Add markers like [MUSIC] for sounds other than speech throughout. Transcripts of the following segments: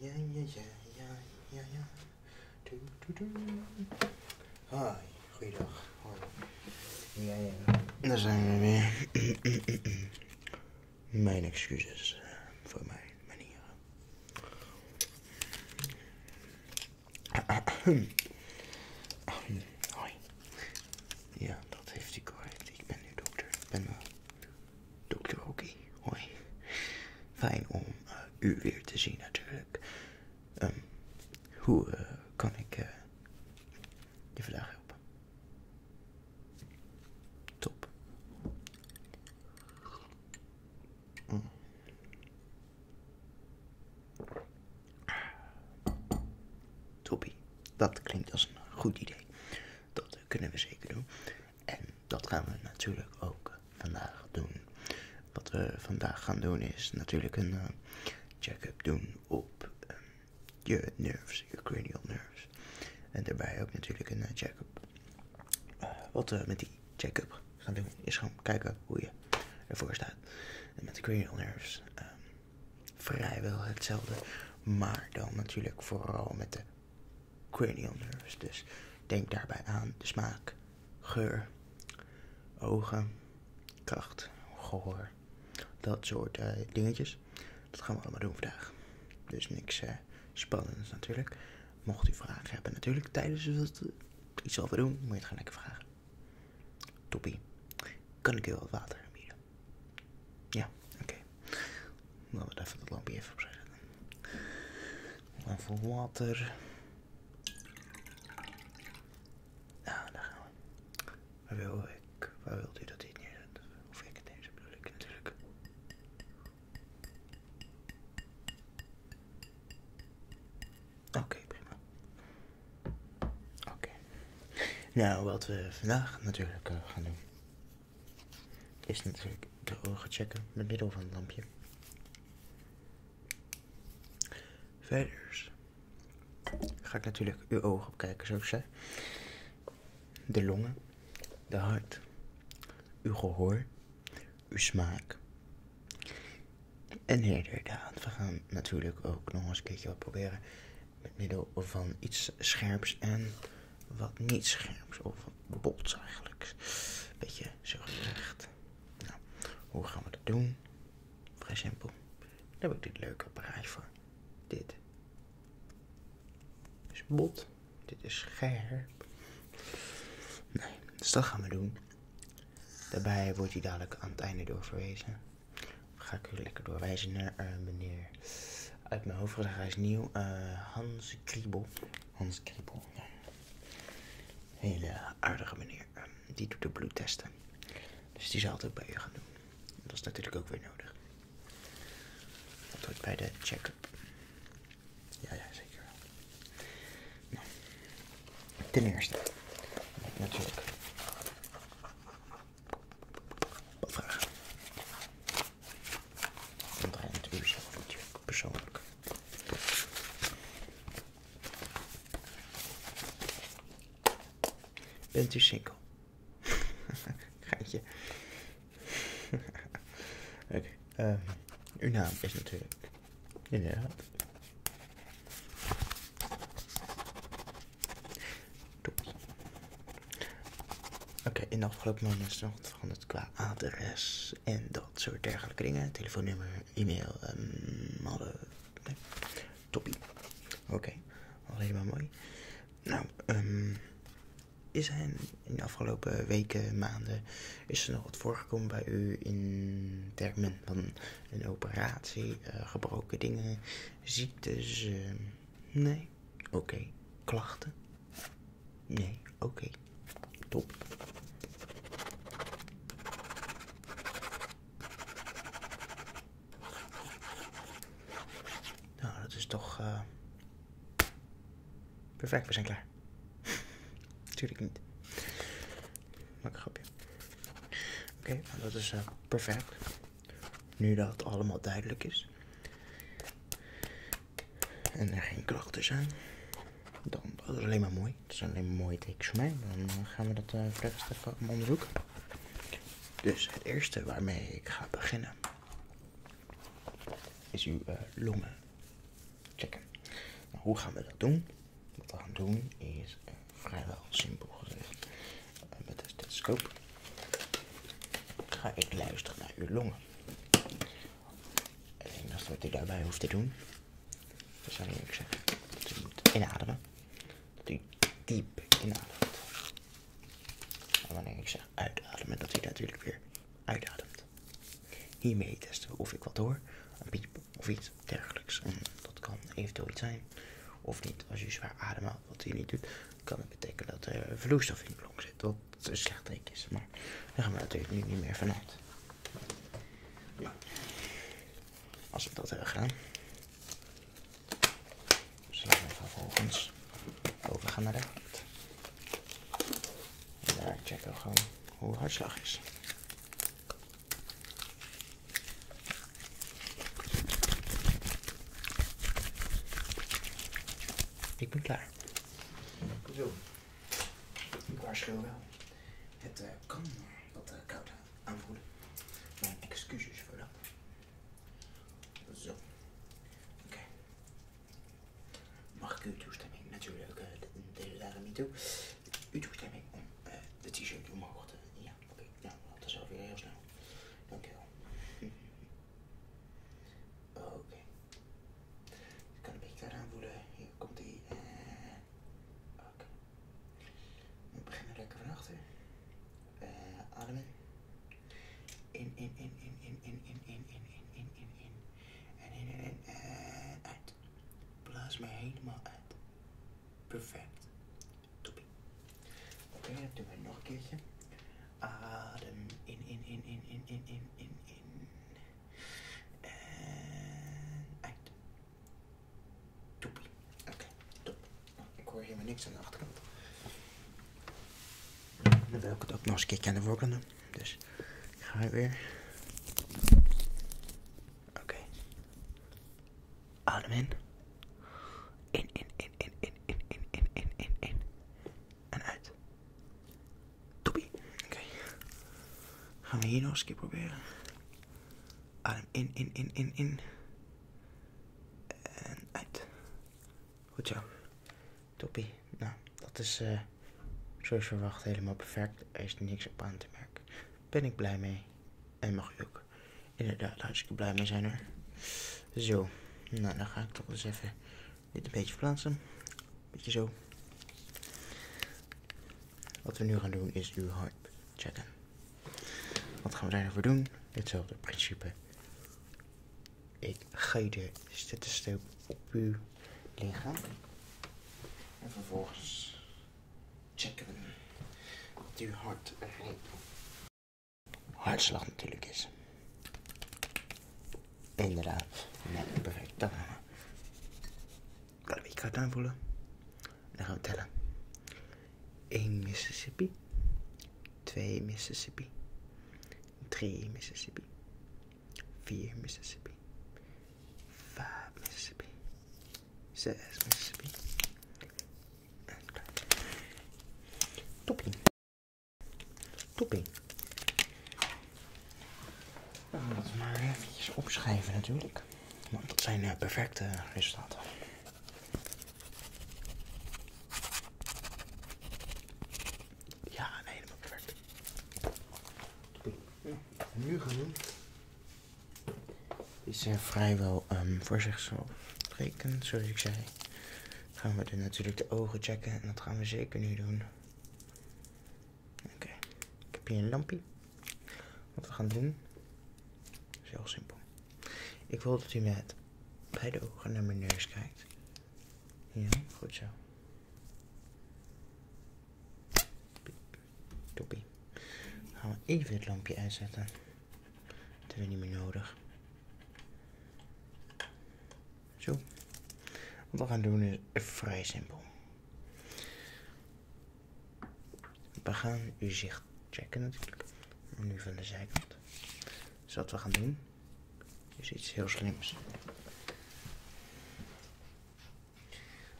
Ja, ja, ja, ja, ja, ja. Doe, doe, doe. Hoi, goeiedag. Hoi. Ja, ja. Daar zijn we weer. [CLEARS THROAT] Mijn excuses eh, voor mijn manieren. [CLEARS THROAT] Hoi. Ja, dat heeft hij correct. Ik ben nu dokter. Ik ben wel Dr. Hoki, hoi. Fijn om eh, u weer te zien natuurlijk. Ehm, hoe eh, kan ik eh je vandaag helpen? Top. Mm. Toppie, dat klinkt als een goed idee. Dat kunnen we zeker doen. En dat gaan we natuurlijk ook vandaag doen. Wat we vandaag gaan doen is natuurlijk een eh, check-up doen op ehm, je nerves, je cranial nerves. En daarbij ook natuurlijk een eh, check-up. Eh, wat we met die check-up gaan doen is gaan kijken hoe je ervoor staat. En met de cranial nerves ehm, vrijwel hetzelfde. Maar dan natuurlijk vooral met de cranial nerves. Dus denk daarbij aan de smaak, geur, ogen, kracht, gehoor. Dat soort eh, dingetjes. Dat gaan we allemaal doen vandaag. Dus niks eh, spannends natuurlijk. Mocht u vragen hebben natuurlijk tijdens het iets over doen, moet je het gaan lekker vragen. Toppie. Kan ik heel wat water aanbieden? oké. oké, Laten we even dat lampje even opzetten. Even water. Nou, daar gaan we. Waar wil ik? Waar wilt u dat dit neerzet? Of ik deze bedoel ik natuurlijk. Oké, prima. Oké. Nou, wat we vandaag natuurlijk eh, gaan doen is natuurlijk de ogen checken met middel van het lampje. Verder ga ik natuurlijk uw ogen opkijken, zoals ik zei. De longen, de hart, uw gehoor, uw smaak. En inderdaad, We gaan natuurlijk ook nog eens een keertje wat proberen met middel van iets scherps en wat niet scherps, of wat bots eigenlijk. Beetje zo gezegd. Nou, hoe gaan we dat doen? Vrij simpel. Daar heb ik dit leuke apparaat voor. Dit is bot, dit is scherp. Nee, dus dat gaan we doen. Daarbij wordt hij dadelijk aan het einde doorverwezen ga ik u lekker doorwijzen naar eh, meneer. Uit mijn hoofd, is nieuw. Eh, Hans Kriebel. Hans Kriebel. Ja. Hele aardige meneer. Ehm, die doet de bloedtesten. Dus die zal het ook bij u gaan doen. Dat is natuurlijk ook weer nodig. Dat hoort bij de check-up. Ja, ja, zeker. Nou. Ten eerste. Natuurlijk. Wat vragen. persoonlijk. Bent u single? Gaatje. [LAUGHS] [LAUGHS] Oké, ehm, uw naam is natuurlijk. Inderdaad. Oké, in de afgelopen maanden is er wat qua adres en dat soort dergelijke dingen. Telefoonnummer, e-mail, um, Nee. Toppie. Oké, okay. al helemaal mooi. Nou, ehm is er in de afgelopen weken, maanden, is er nog wat voorgekomen bij u in termen van een operatie, eh, gebroken dingen, ziektes? Ehm, nee? Oké. Klachten? Nee, oké. Top. Nou, dat is toch. Eh, perfect, we zijn klaar. [LAUGHS] Tuurlijk niet. Maak een grapje. Oké, nou, dat is eh, perfect. Nu dat het allemaal duidelijk is en er geen klachten zijn, dan is het alleen maar mooi. Het is alleen maar mooie tekens voor mij. Dan eh, gaan we dat uh, verder mijn onderzoeken. Dus het eerste waarmee ik ga beginnen is uw eh, longen checken. Nou, hoe gaan we dat doen? Wat we gaan doen is vrijwel simpel gezegd. En met de stethoscoop ga ik luisteren naar uw longen. En dat enige wat u daarbij hoeft te doen, dat zou ik zeg: dat u moet inademen. Dat u diep inademt. En wanneer ik zeg uitademen, dat u natuurlijk weer uitademt. Hiermee testen we of ik wat hoor, een piep of iets dergelijks. Mm, dat kan eventueel iets zijn of niet als u zwaar ademt, wat u niet doet kan het betekenen dat er vloeistof in de klonk zit. Wat een slecht teken is. Maar daar gaan we natuurlijk nu niet meer vanuit. als we dat hebben eh, gedaan, zullen we vervolgens overgaan naar de hand En daar checken we gewoon hoe hartslag is. Ik ben klaar. Zo. Ik waarschuw wel. Het eh, kan wat eh, koud aanvoelen. Mijn excuses voor dat. Zo. Oké. Mag ik uw toestemming natuurlijk, eh, de delen daar niet toe. Uw toestemming om de t-shirt omhoog te... Ja, oké. Ja. Nou, dat is alweer heel snel. Dank wel. Oké. Ik kan een beetje daar voelen. Hier komt hij. en Oké. We beginnen lekker van achter. Armen. ademen. In, in, in, in, in, in, in, in, in, in, in, in, in. En in, in, in, en uit. Blaas me helemaal uit. Perfect. Toepie. Oké, dat doen we nog een keertje. Adem in, in, in, in, in, in, in, in, in. En uit. Toepie. Oké, top. Ik hoor helemaal niks aan de achterkant. Dan wil ik het ook nog een keertje aan de doen. Dus ik ga weer. Oké. Adem in. In, in, in in, in, in, in, in, in, in, in, En uit. Toppie. Oké. Gaan we hier nog eens een keer proberen. Adem in, in, in, in, in. En uit. Goed zo. Toppie. Nou, dat is eh. zoals verwacht helemaal perfect. Er is niks op aan te merken. Ben ik blij mee. En mag u ook inderdaad hartstikke blij mee zijn er. Zo, nou dan ga ik toch eens even dit een beetje verplaatsen. Beetje zo. Wat we nu gaan doen is uw hart checken. Wat gaan we daarvoor nou doen? Hetzelfde principe. Ik ga je de stethoscoop op uw lichaam. En vervolgens checken we dat uw hart rijdt. Hartslag natuurlijk is. Inderdaad. Net perfect. Dan kan ik kaart aanvoelen. Dan gaan we tellen. 1 Mississippi. 2 Mississippi. 3 Mississippi. 4 Mississippi. 5 Mississippi. 6 Mississippi. Toppie. Toppie. Nou, dat maar eventjes opschrijven natuurlijk. Want dat zijn eh, perfecte resultaten. Ja, nee, helemaal perfect. Ja, nu gaan doen is er eh, vrijwel ehm, voor zichzelf spreken, zoals ik zei gaan we natuurlijk de ogen checken. En dat gaan we zeker nu doen. Oké, ik heb hier een lampje. Wat we gaan doen is heel simpel. Ik wil dat u met de ogen naar mijn neus kijkt. Ja, goed zo. Toppie. Dan gaan we even dit lampje uitzetten. Dat hebben we niet meer nodig. Zo. Wat we gaan doen is vrij simpel. We gaan u zicht checken natuurlijk. Nu van de zijkant. Dus wat we gaan doen is iets heel slims.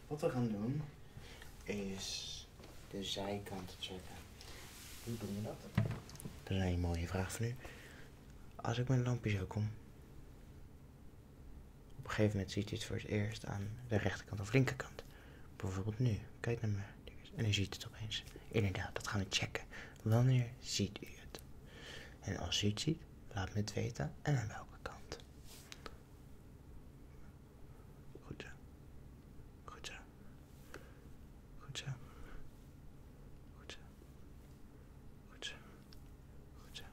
Wat we gaan doen is de zijkant checken. Hoe doe je dat? Dat is een mooie vraag van u. Als ik mijn lampje zo kom, op een gegeven moment ziet u het voor het eerst aan de rechterkant of linkerkant. Bijvoorbeeld nu, kijk naar me. En u ziet het opeens. Inderdaad, dat gaan we checken. Wanneer ziet u het? En als u het ziet, laat me het weten en aan welke kant. Goed zo. Goed zo. Hoca. Hoca. Hoca. Hoca.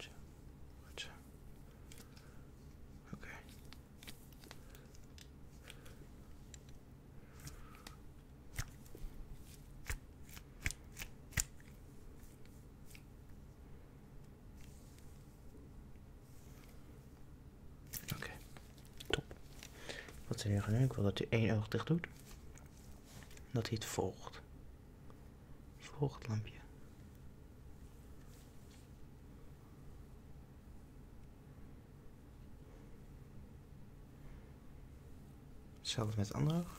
Hoca. Hoca. Okay. Oké, top. Wat zullen we gaan doen? Ik wil dat u één oog dicht doet. Dat hij het volgt. volgt het lampje. Hetzelfde met ander oog.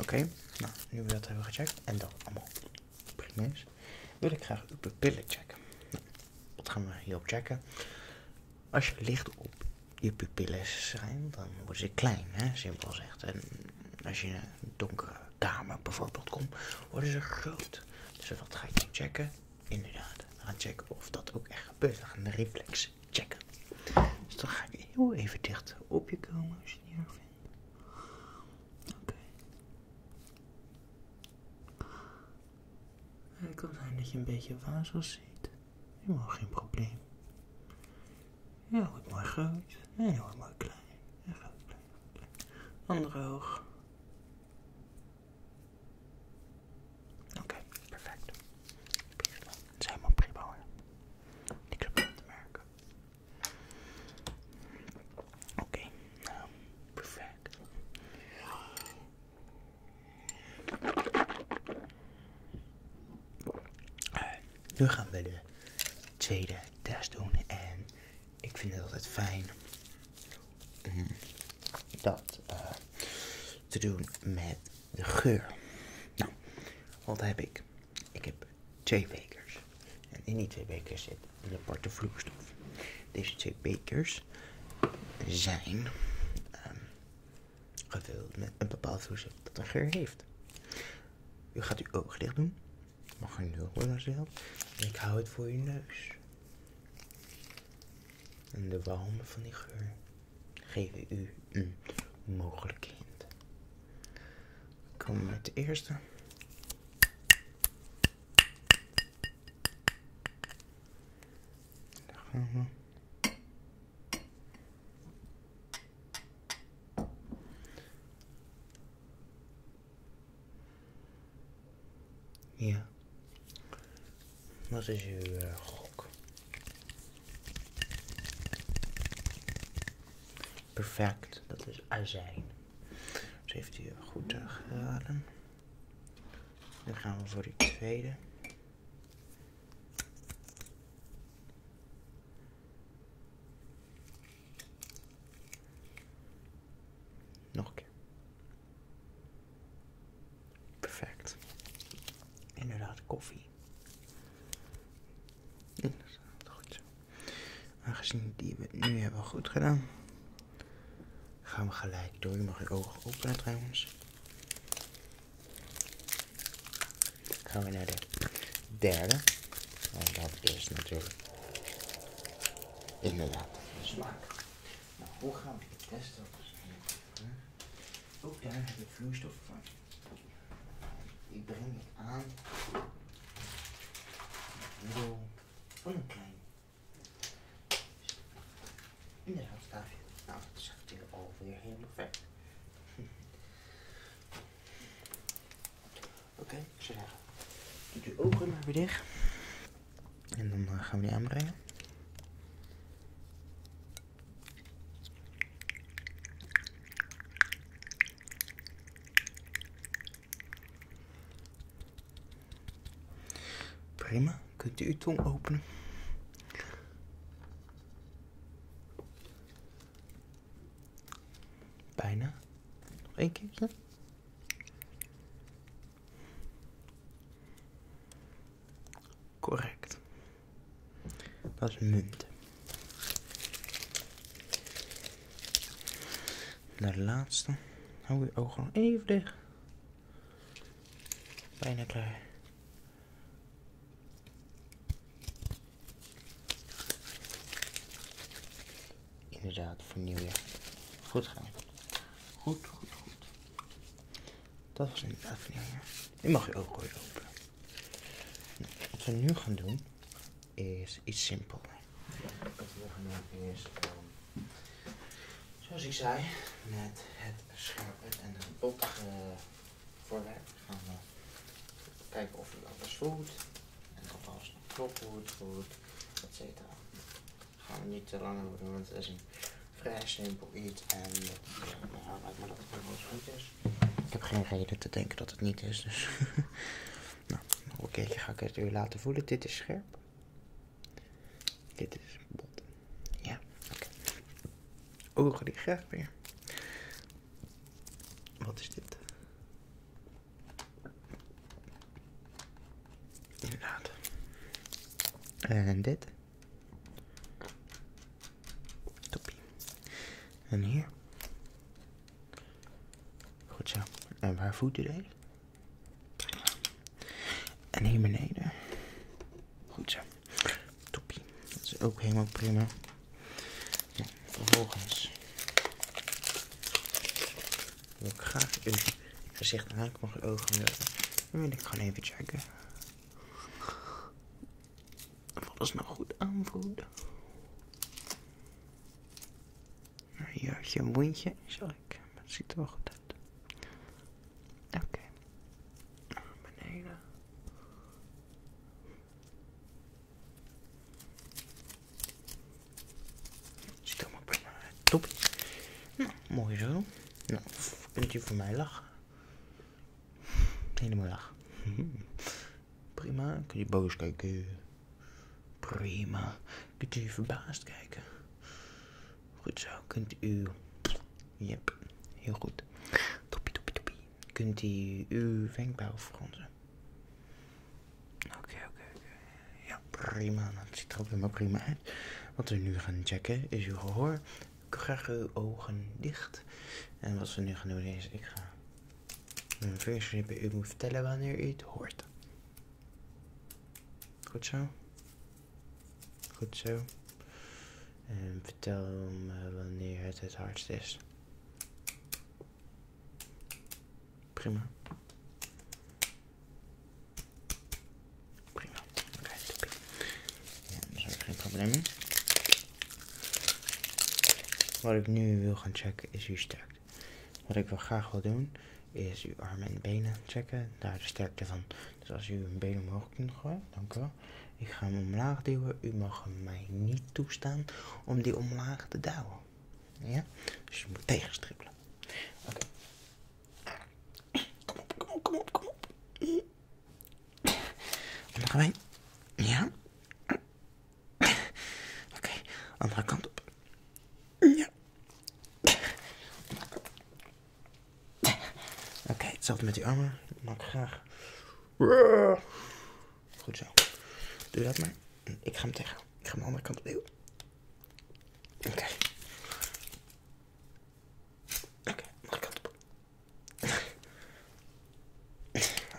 Oké, nou, nu we dat hebben gecheckt en dat allemaal prima is, wil ik graag uw pupillen checken. Wat nou, gaan we hierop checken. Als je licht op je pupillen schijnt, dan worden ze klein, hè, simpel gezegd. En als je in een donkere kamer bijvoorbeeld komt, worden ze groot. Dus wat ga ik checken? Inderdaad, we checken of dat ook echt gebeurt. We gaan reflex checken. Dus dan ga ik heel even dicht op je komen als je het niet vindt. Oké. Het kan zijn dat je een beetje wazel ziet. Helemaal geen probleem. Ja, wordt mooi groot. En heel mooi klein. En groot, klein, klein. Andere oog. Oké, perfect. Het is helemaal prima hoor. Niks op te merken. Oké, nou, perfect. nu gaan we de tweede test doen en ik vind het altijd fijn dat eh, te doen met de geur. Nou, wat heb ik? Ik heb twee bekers. En in die twee bekers zit een aparte vloeistof. Deze twee bekers zijn ehm, gevuld met een bepaald vloeistof dat een geur heeft. U gaat uw ogen dicht doen. Mag er nul worden als Ik hou het voor uw neus. En de walmen van die geur. Geef u een mogelijkheid. Ik kom met de eerste. Daar we. Ja. Wat is uw uh, gok? Perfect, dat is azijn. Dus heeft hij goed uh, geraden. Dan gaan we voor die tweede. Nog een Perfect. Inderdaad, koffie. Inderdaad, goed zo. Aangezien die we nu hebben goed gedaan, gaan we gelijk door. Je mag je ogen openen trouwens. Gaan we naar de derde. En dat is natuurlijk inderdaad smaak. Nou, hoe gaan we dit testen? Ook daar heb ik vloeistof van. Ik breng ik aan. Middel van een klein. in Inderdaad, staafje. Nou, dat zag ik alweer heel vet. [LAUGHS] Oké, zeg. ik doe Doet ogen maar weer dicht. En dan eh, gaan we die aanbrengen. Prima, kunt u uw tong openen. Bijna. Nog één keertje. Correct. Dat is munt. De laatste. Hou je al even dicht. Bijna klaar. Inderdaad, vernieuw je. Goed gaan. Goed, goed, goed. Dat was inderdaad vernieuw die mag je ook ooit wat we nu gaan doen is iets simpel. Wat we gaan doen is, ehm, zoals ik zei, met het scherp en het bottige voorwerp gaan we eh, kijken of het alles voelt. En of alles nog goed voelt, et cetera. Gaan we niet te lang doen, want het vrij simpel iets. En eh, ja, lijkt dat het wel goed is. Ik heb geen reden te denken dat het niet is. Dus [LAUGHS] nou, nog een keertje ga ik het u laten voelen. Dit is scherp. Dit is bot. Ja, oké. Ogen die graag weer. Wat is dit? Inderdaad. En dit. Toppie. En hier. Goed zo. En waar voet u deze? En hier beneden. Goed zo. Toppie. Dat is ook helemaal prima. Ja, vervolgens wil ik graag uw gezicht en ogen willen. Dan wil ik gewoon even checken dat alles nou goed aanvoelen. Nou, hier had je een wondje, zal ik. Maar het ziet er wel goed uit. Oké. Beneden. Ziet er allemaal bijna uit. Top. Nou, mooi zo. Nou, kunt u voor mij lachen. Helemaal dag. [LAUGHS] Prima. Kun je boos kijken? Prima. Kunt u verbaasd kijken? Goed zo. Kunt u... Yep. Heel goed. Toppie, toppie, toppie. Kunt u uw wenkbrauw fronsen? Oké, oké, oké. Ja, prima. Nou, dat ziet er ook prima uit. Wat we nu gaan checken is uw gehoor ik ga uw ogen dicht. En wat we nu gaan doen is, ik ga mijn rippen. u moet vertellen wanneer u het hoort. Goed zo. Goed zo. En vertel me wanneer het het hardst is. Prima. Prima, oké, Ja, daar is geen probleem Wat ik nu wil gaan checken is uw sterkte. Wat ik wel graag wil doen is uw armen en benen checken, daar de sterkte van. Dus als u een benen omhoog kunt gooien, dank u Ik ga hem omlaag duwen. U mag mij niet toestaan om die omlaag te duwen. Ja? Dus je moet tegenstrippelen. Oké. kom op, kom op, kom op gaan wij. Ja. Oké, andere kant op. Ja. Oké, hetzelfde met die armen. Dat maak graag. Goed zo. Doe dat maar. Ik ga hem tegen. Ik ga hem andere kant op. Oké. Oké, mag ik op?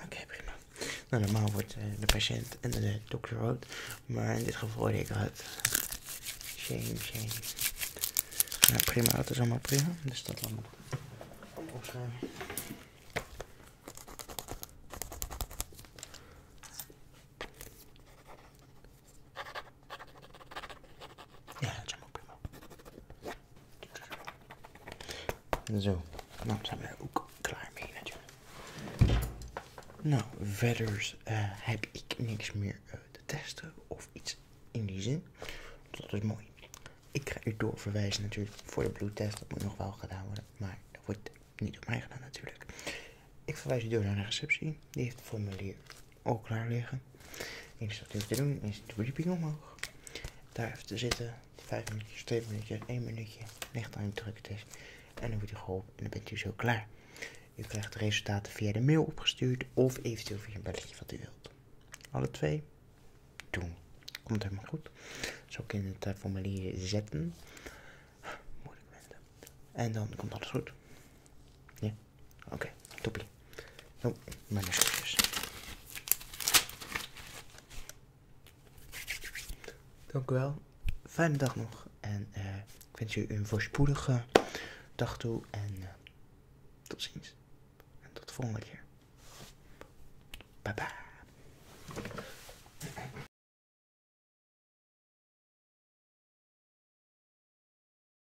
Oké, prima. Nou, normaal wordt eh, de patiënt en de dokter rood, maar in dit geval word ik rood. Shame, shame. Nou, prima, dat is allemaal prima, dus dat allemaal Oké. Ja, dat is ook prima. Zo, dan nou, zijn we er ook klaar mee natuurlijk. Nou, verder eh, heb ik niks meer eh, te testen of iets in die zin. Dat is mooi. Ik ga u doorverwijzen natuurlijk voor de bloedtest. Dat moet nog wel gedaan worden, maar dat wordt niet op mij gedaan natuurlijk. Ik verwijs u door naar de receptie. Die heeft het formulier ook klaar liggen. Eerst wat u te doen is de verdieping omhoog. Daar even te zitten. 5 minuutjes, 2 minuutjes, 1 minuutje. licht aan het druktest. Dus. En dan wordt u geholpen en dan bent u zo klaar. U krijgt de resultaten via de mail opgestuurd of eventueel via een belletje wat u wilt. Alle twee doen. Komt helemaal goed. Zo kun je het eh, formulier zetten. Moeilijk mensen. En dan komt alles goed. Ja. Oké, topie. toppie. Nou, mijn excuses. Dank u wel. Fijne dag nog. En eh, ik wens u een voorspoedige dag toe. En eh, tot ziens. En tot de volgende keer. Bye bye.